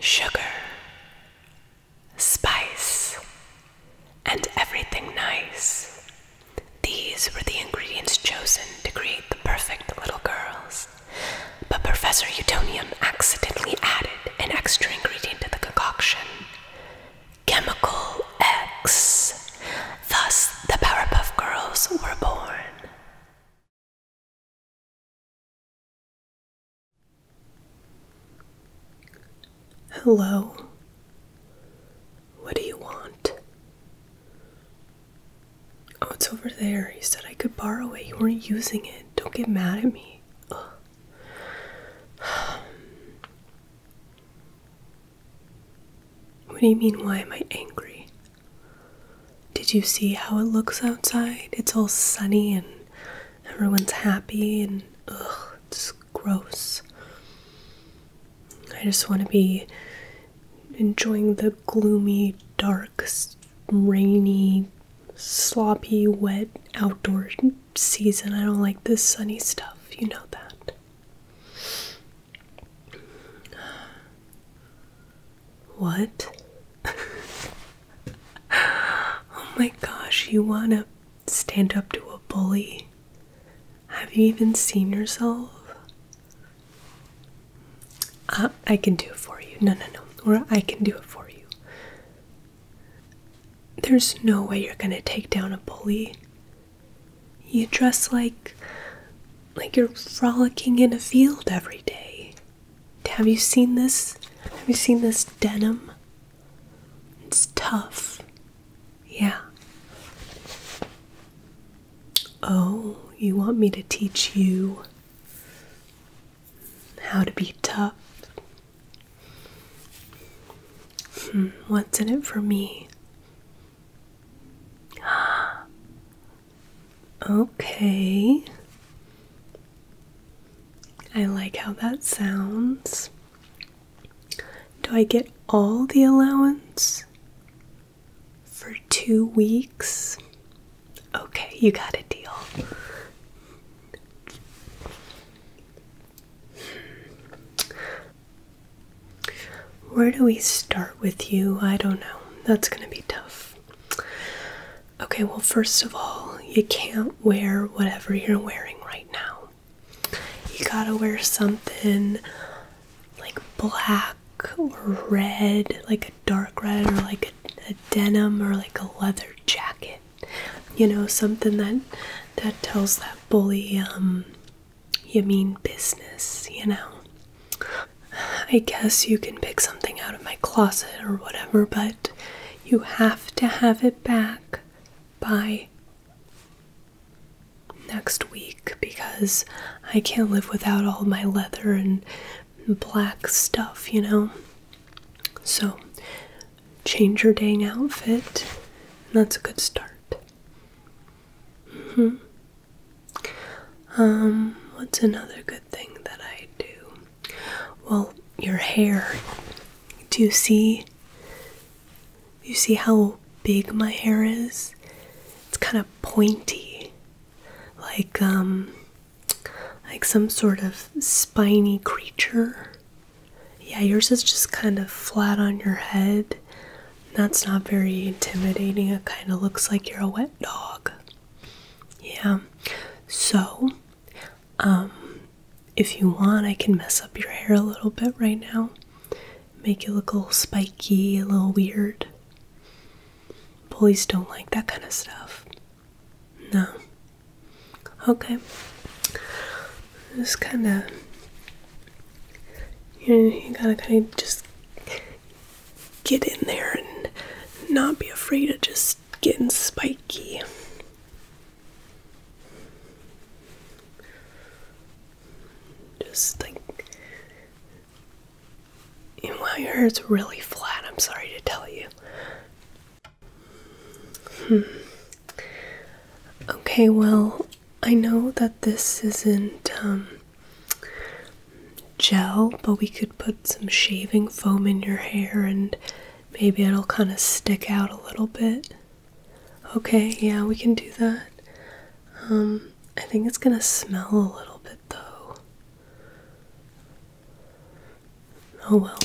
Sugar, spice, and everything nice. These were the ingredients chosen to create the perfect little girls. But Professor Utonium accidentally added an extra ingredient to the concoction chemical X. Thus, the Powerpuff Girls were born. Hello. What do you want? Oh, it's over there. You said I could borrow it. You weren't using it. Don't get mad at me. What do you mean, why am I angry? Did you see how it looks outside? It's all sunny and everyone's happy and ugh, it's gross. I just want to be enjoying the gloomy, dark, rainy, sloppy, wet outdoor season. I don't like this sunny stuff, you know that. What? oh my gosh, you wanna stand up to a bully? Have you even seen yourself? Uh, I can do it for you. No, no, no. Or I can do it for you. There's no way you're gonna take down a bully. You dress like. like you're frolicking in a field every day. Have you seen this? Have you seen this denim? It's tough. Yeah. Oh, you want me to teach you how to be tough? Hmm, what's in it for me? Okay. I like how that sounds. Do I get all the allowance for two weeks? Okay, you got a deal. Where do we start with you? I don't know. That's gonna be tough. Okay, well, first of all, you can't wear whatever you're wearing right now. You gotta wear something like black or red, like a dark red, or like a, denim or like a leather jacket. You know, something that that tells that bully um you mean business, you know. I guess you can pick something out of my closet or whatever, but you have to have it back by next week because I can't live without all my leather and black stuff, you know? So, change your dang outfit. That's a good start. -hmm. Um, what's another good thing that I do? Well, your hair. Do you see? You see how big my hair is? It's kind of pointy. Like um like some sort of spiny creature. Yeah, yours is just kind of flat on your head. That's not very intimidating. It kind of looks like you're a wet dog. Yeah. So, um, if you want, I can mess up your hair a little bit right now. Make it look a little spiky, a little weird. Bullies don't like that kind of stuff. No. Okay. Just kind of. You, know, you gotta kind of just get in there and not be afraid of just getting spiky. Just like, and my hair is really flat, I'm sorry to tell you. Hmm. Okay, well, I know that this isn't, um, gel, but we could put some shaving foam in your hair and maybe it'll kind of stick out a little bit. Okay, yeah, we can do that. Um, I think it's gonna smell a little bit though. Oh well.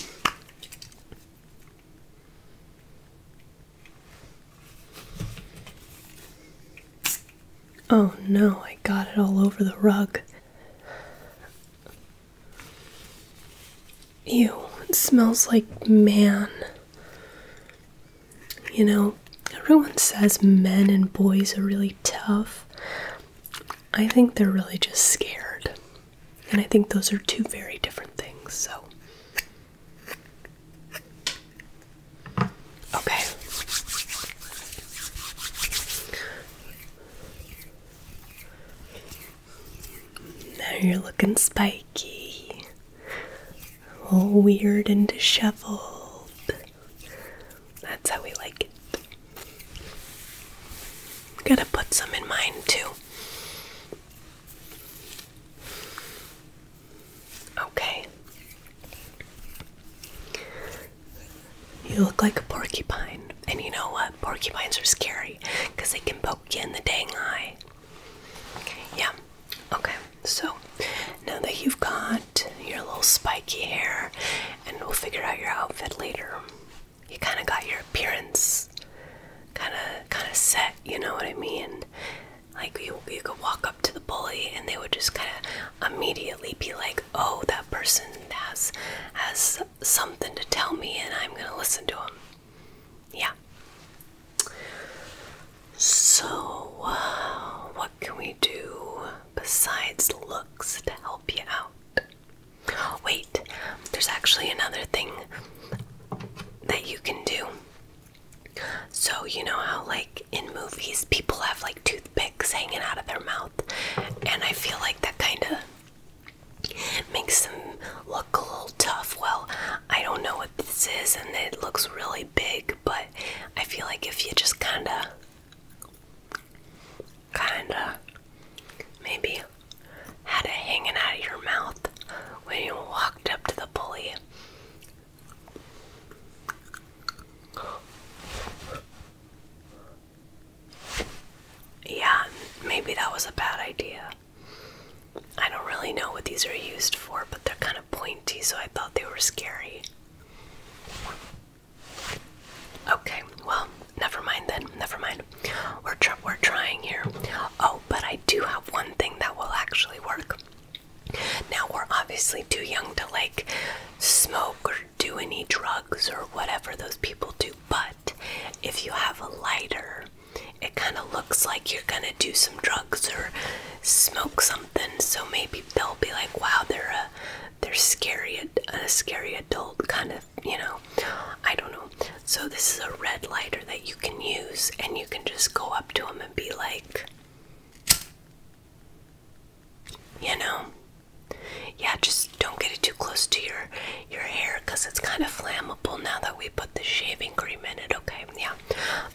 Oh no, I got it all over the rug. Ew, it smells like man. You know, everyone says men and boys are really tough. I think they're really just scared. And I think those are two very different things, so. Okay. Now you're looking spiky, all weird and disheveled. That's how we like it. Gotta put some in mind too. Okay. You look like a porcupine. And you know what? Porcupines are scary because they can poke you in the dang eye. Yeah. Okay. So now that you've got your little spiky hair and we'll figure out your outfit later. You kind of got your appearance kind of kind of set, you know what I mean? Like you, you could walk up to the bully, and they would just kind of immediately be like, "Oh, that person has has something to tell me, and I'm gonna listen to him." Yeah. So, uh, what can we do besides looks to help you out? Wait, there's actually another thing that you can do. So, you know how, like, in movies, people have like toothpicks hanging out of their mouth, and I feel like that kind of makes them look a little tough. Well, I don't know what this is, and it looks really big, but I feel like if you just kind of, kind of, maybe had it hanging out of your mouth when you walked up to the pulley, yeah, maybe that was a bad idea. I don't really know what these are used for, but they're kind of pointy, so I thought they were scary. Okay, well, never mind then. Never mind. We're tr we're trying here. Oh, but I do have one thing that will actually work. Now, we're obviously too young to like smoke or do any drugs or whatever those people do, but if you have a lighter, it kind of looks like you're gonna do some drugs or smoke something, so maybe they'll be like, "Wow, they're a they're scary a scary adult kind of you know I don't know." So this is a red lighter that you can use, and you can just go up to him and be like, you know, yeah, just don't get it too close to your your hair because it's kind of flammable now that we put the shaving cream in it. Okay, yeah,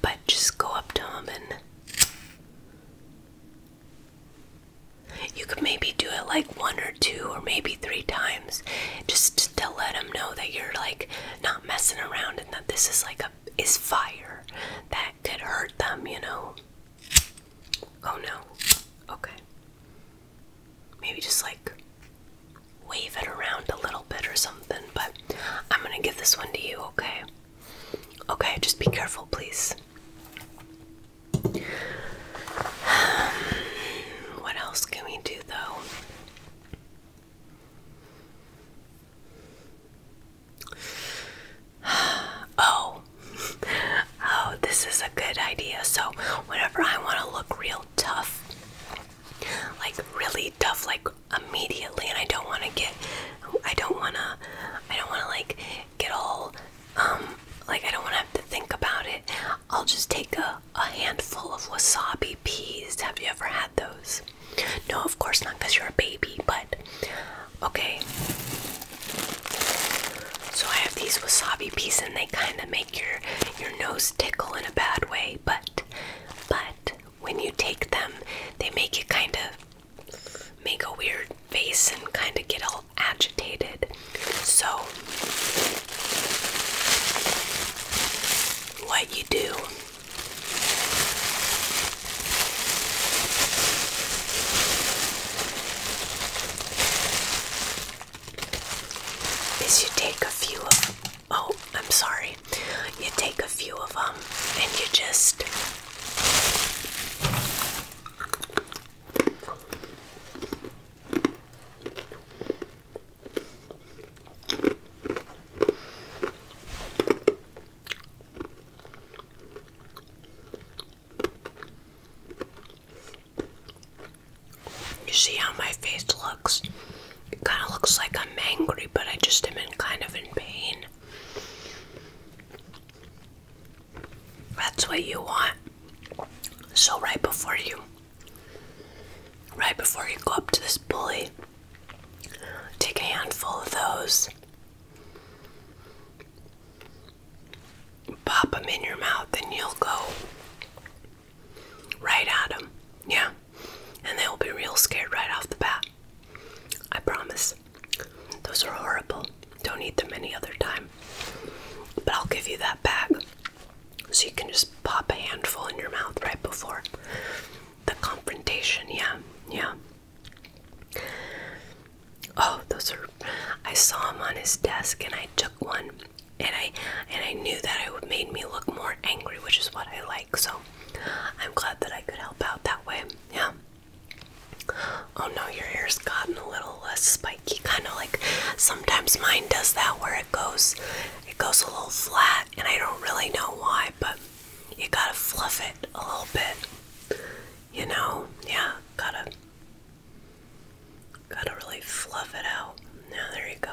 but just go up to him, and. You could maybe do it like one or two or maybe three times just to let him know that you're like not messing around and that this is like a is fire that could hurt them, you know. Oh no. Okay. Maybe just like wave it around a little bit or something, but I'm going to give this one to you, okay? Okay, just be careful, please. what else can we do though? oh, oh, this is a good idea. So, whenever I want to look real tough, like really tough, like immediately, and I don't want to get, I don't want to, I don't want to like get all, um, like I don't want to have to think about it. I'll just take a, a handful of wasabi peas. Have you ever had those? No, of course not, because you're a baby, but okay. So I have these wasabi peas and they kinda make your your nose tickle in a bad way, but but when you take them, they make you kinda make a weird face and kinda get all agitated. So what you do. Is you take a few of oh, I'm sorry. You take a few of them and you just you see how my face looks? It kind of looks like I'm angry, but I just am in kind of in pain. That's what you want. So, right before you Right before you go up to this bully, take a handful of those, pop them in your mouth, and you'll go right at them. Yeah, and they will be real scared right off the bat. I promise. Those are horrible. Don't eat them any other time. But I'll give you that bag. So you can just pop a handful in your mouth right before the confrontation. Yeah, yeah. Oh, those are. I saw him on his desk, and I took one, and I and I knew that it made me look more angry, which is what I like. So I'm glad that I could help out that way. Yeah. Oh no, your hair's gotten a little less uh, spiky, kind of like sometimes mine does that, where it goes it goes a little flat, and I don't really know why, but you gotta fluff it a little bit. You know, yeah, gotta gotta really fluff it out. Now there you go.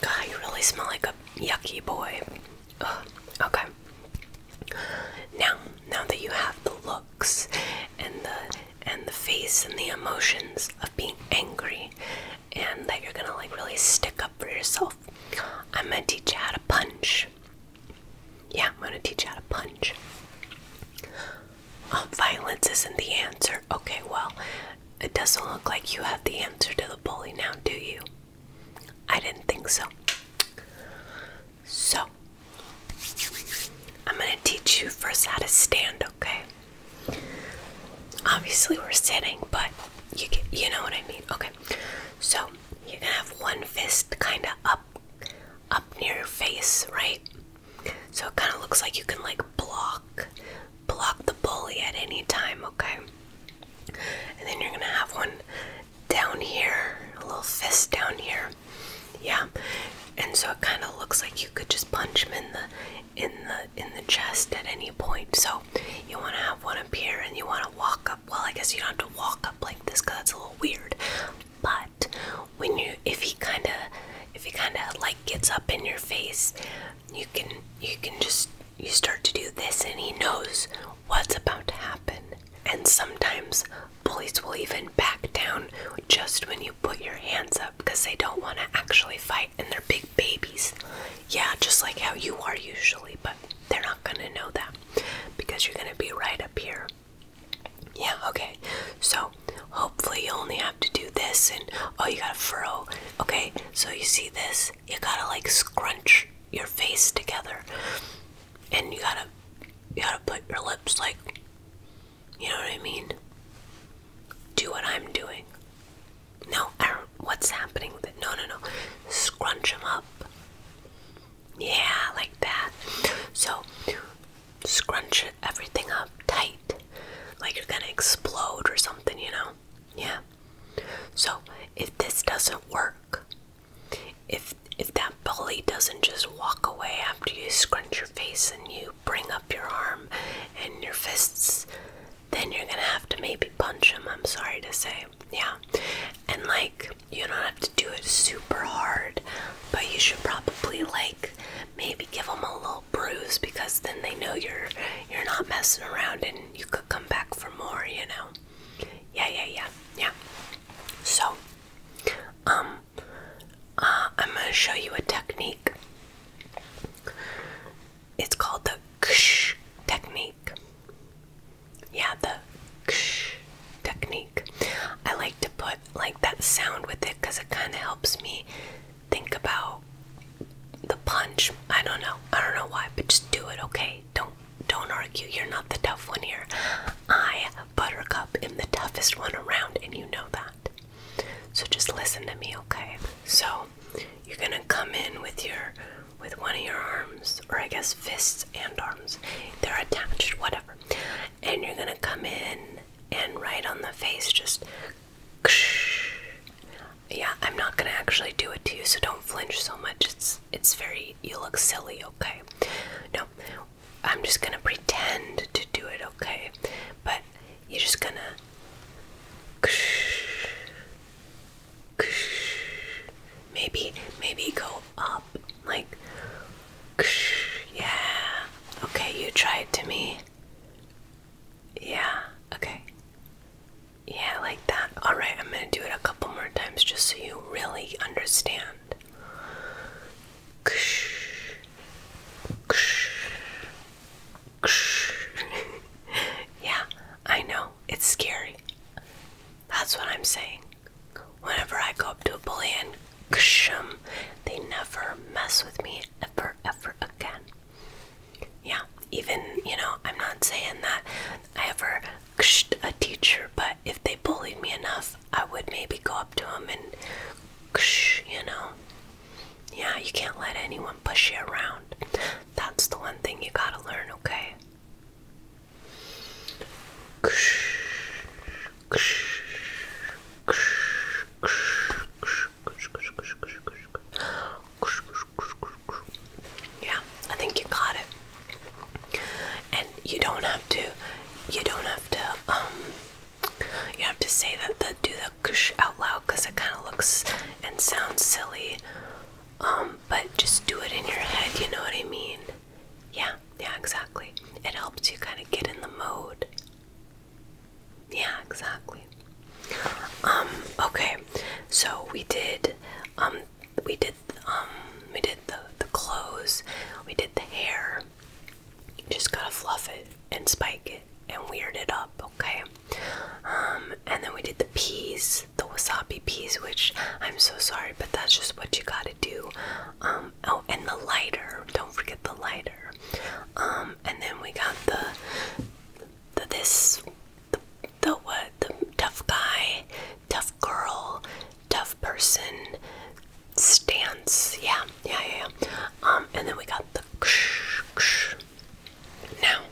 God, you really smell like a yucky boy. Okay. Now, now that you have the looks and the and the face and the emotions of being angry and that you're gonna like really stick up for yourself. I'm gonna teach you how to punch. Yeah, I'm gonna teach you how to punch. Oh, violence isn't the answer. Okay, well, it doesn't look like you have the answer to the bully now, do you? I didn't think so. So, I'm gonna teach you first how to stand up okay? Obviously, we're sitting, but you get, you know what I mean. Okay, so you're gonna have one fist kind of up, up near your face, right? So it kind of looks like you can like block, block the bully at any time, okay? And then you're gonna have one down here, a little fist down here, yeah. And so it kind of looks like you could just punch him in the in the in the chest at any point. So you want to have one up here, and you want to walk up. Well, I guess you don't have to walk up like this because that's a little weird. But when you, if he kind of, if he kind of like gets up in your face, you can you can just you start to do this, and he knows what's about to happen. And sometimes bullies will even back down just when you put your hands up because they don't want to actually fight and they're big babies. Yeah, just like how you are usually, but they're not going to know that because you're going to be right up here. Yeah, okay. So hopefully you only have to do this and oh, you got to furrow. Okay, so you see this? You got to like scrunch your face together and you got to you got to put your lips like you know what I mean? Do what I'm doing. No, What's happening with it? No, no, no. Scrunch them up. Yeah, like that. So, scrunch everything up tight. Like you're gonna explode or something, you know? Yeah. So, if this doesn't work, if if that bully doesn't just walk away after you scrunch your face and you bring up your arm and your fists, then you're gonna have to maybe punch him, I'm sorry to say. Yeah. And like, you don't have to do it super hard, but you should probably like maybe give them a little bruise because then they know you're you're not messing around and you could come back for more, you know. Yeah, yeah, yeah. Yeah. So, um uh, I'm going to show you a technique. It's called the ksh technique. Yeah, the ksh technique. I like to put like that sound with it because it kind of helps me think about the punch. I don't know. I don't know why, but just do it, okay? Don't don't argue. You're not the tough one here. I buttercup am the toughest one around and you know that. So just listen to me, okay? So you're gonna come in with your with one of your arms, or I guess fists and arms. They're attached, whatever. And you're gonna come in and right on the face just yeah, I'm not gonna actually do it to you, so don't flinch so much. It's it's very you look silly, okay? No, I'm just gonna pretend to do it, okay? But you're just gonna maybe maybe go up like yeah. Okay, you try it to me. Yeah, okay. Yeah, like that. Alright, I'm gonna do it a couple more times just so you really understand. yeah, I know. It's scary. That's what I'm saying. Whenever I go up to a bully and kshum, they never mess with me ever, ever again. Yeah, even, you know, I'm not saying that I ever kshed a teacher, but but if they bullied me enough, I would maybe go up to them and, you know, yeah, you can't let anyone push you around. That's the one thing you gotta learn, okay? Yeah, I think you got it and you don't have to you don't have to um, you have to say that the do the kush out loud because it kind of looks and sounds silly um, but just do it in your head you know what i mean yeah yeah exactly it helps you kind of get in the mode yeah exactly um, okay so we did we did we did the clothes we did the hair just gotta fluff it and spike it and weird it up, okay? Um, and then we did the peas, the wasabi peas, which I'm so sorry, but that's just what you gotta do. Um, oh, and the lighter, don't forget the lighter. Um, and then we got the, the this, the what, the tough guy, tough girl, tough person stance. Yeah, yeah, yeah. Um, and then we got the ksh, ksh. Now,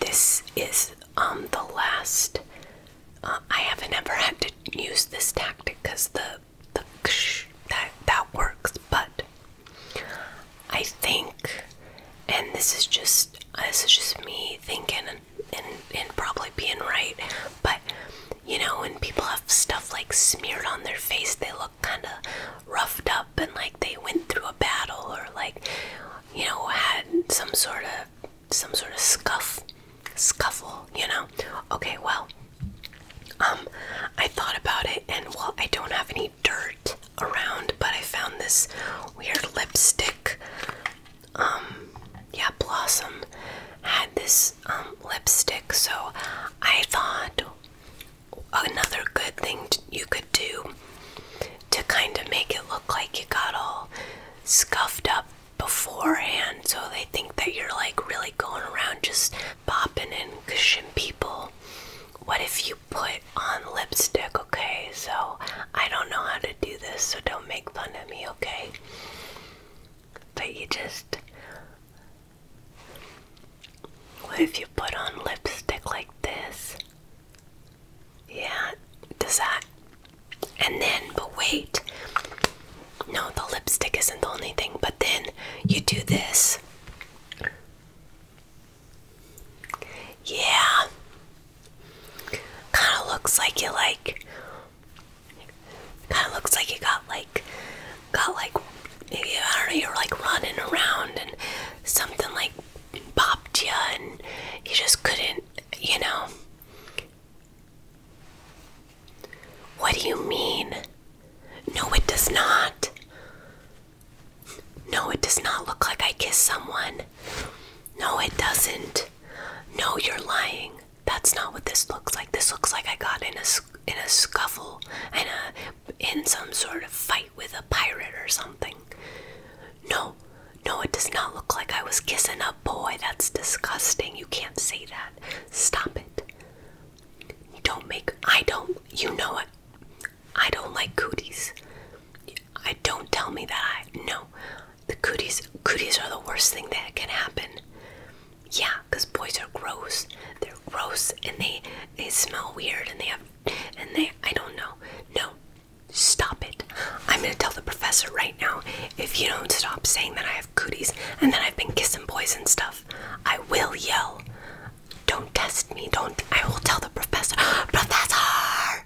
this is um the last. Uh, I haven't ever had to use this tactic because the the ksh, that that works, but I think, and this is just this is just me thinking and probably being right, but you know when people have stuff like smeared on their face, they look kind of roughed up and like they went through a battle or like you know had some sort of some sort of scuff scuffle, you know. Okay, well, um, I thought about it, and well, I don't have any dirt around, but I found this weird lipstick um yeah blossom had this um, lipstick so i thought another good thing you could do to kind of make it look like you got all scuffed up beforehand so they think that you're like really going around just popping and gushing people what if you put on lipstick okay so i don't know how to do this so don't make fun of me okay but you just. What if you put on lipstick like this? Yeah, does that. And then, but wait. No, the lipstick isn't the only thing, but then you do this. Yeah. Kind of looks like you like Kind of looks like you got like, got like, maybe, I don't know, you are like running around and something like popped you and you just couldn't, you know. What do you mean? No, it does not. No, it does not look like I kissed someone. No, it doesn't. No, you're lying. That's not what this looks like. This looks like I got in a in a scuffle and a in some sort of fight with a pirate or something. No, no, it does not look like I was kissing a boy. That's disgusting. You can't say that. Stop it. Don't make. I don't. You know what? I don't like cooties. I don't tell me that I. No, the cooties cooties are the worst thing that can happen. Yeah, because boys are gross. They're gross and they they smell weird and they have and they I don't know. No. Stop it. I'm gonna tell the professor right now, if you don't stop saying that I have cooties and that I've been kissing boys and stuff, I will yell. Don't test me, don't I will tell the professor Professor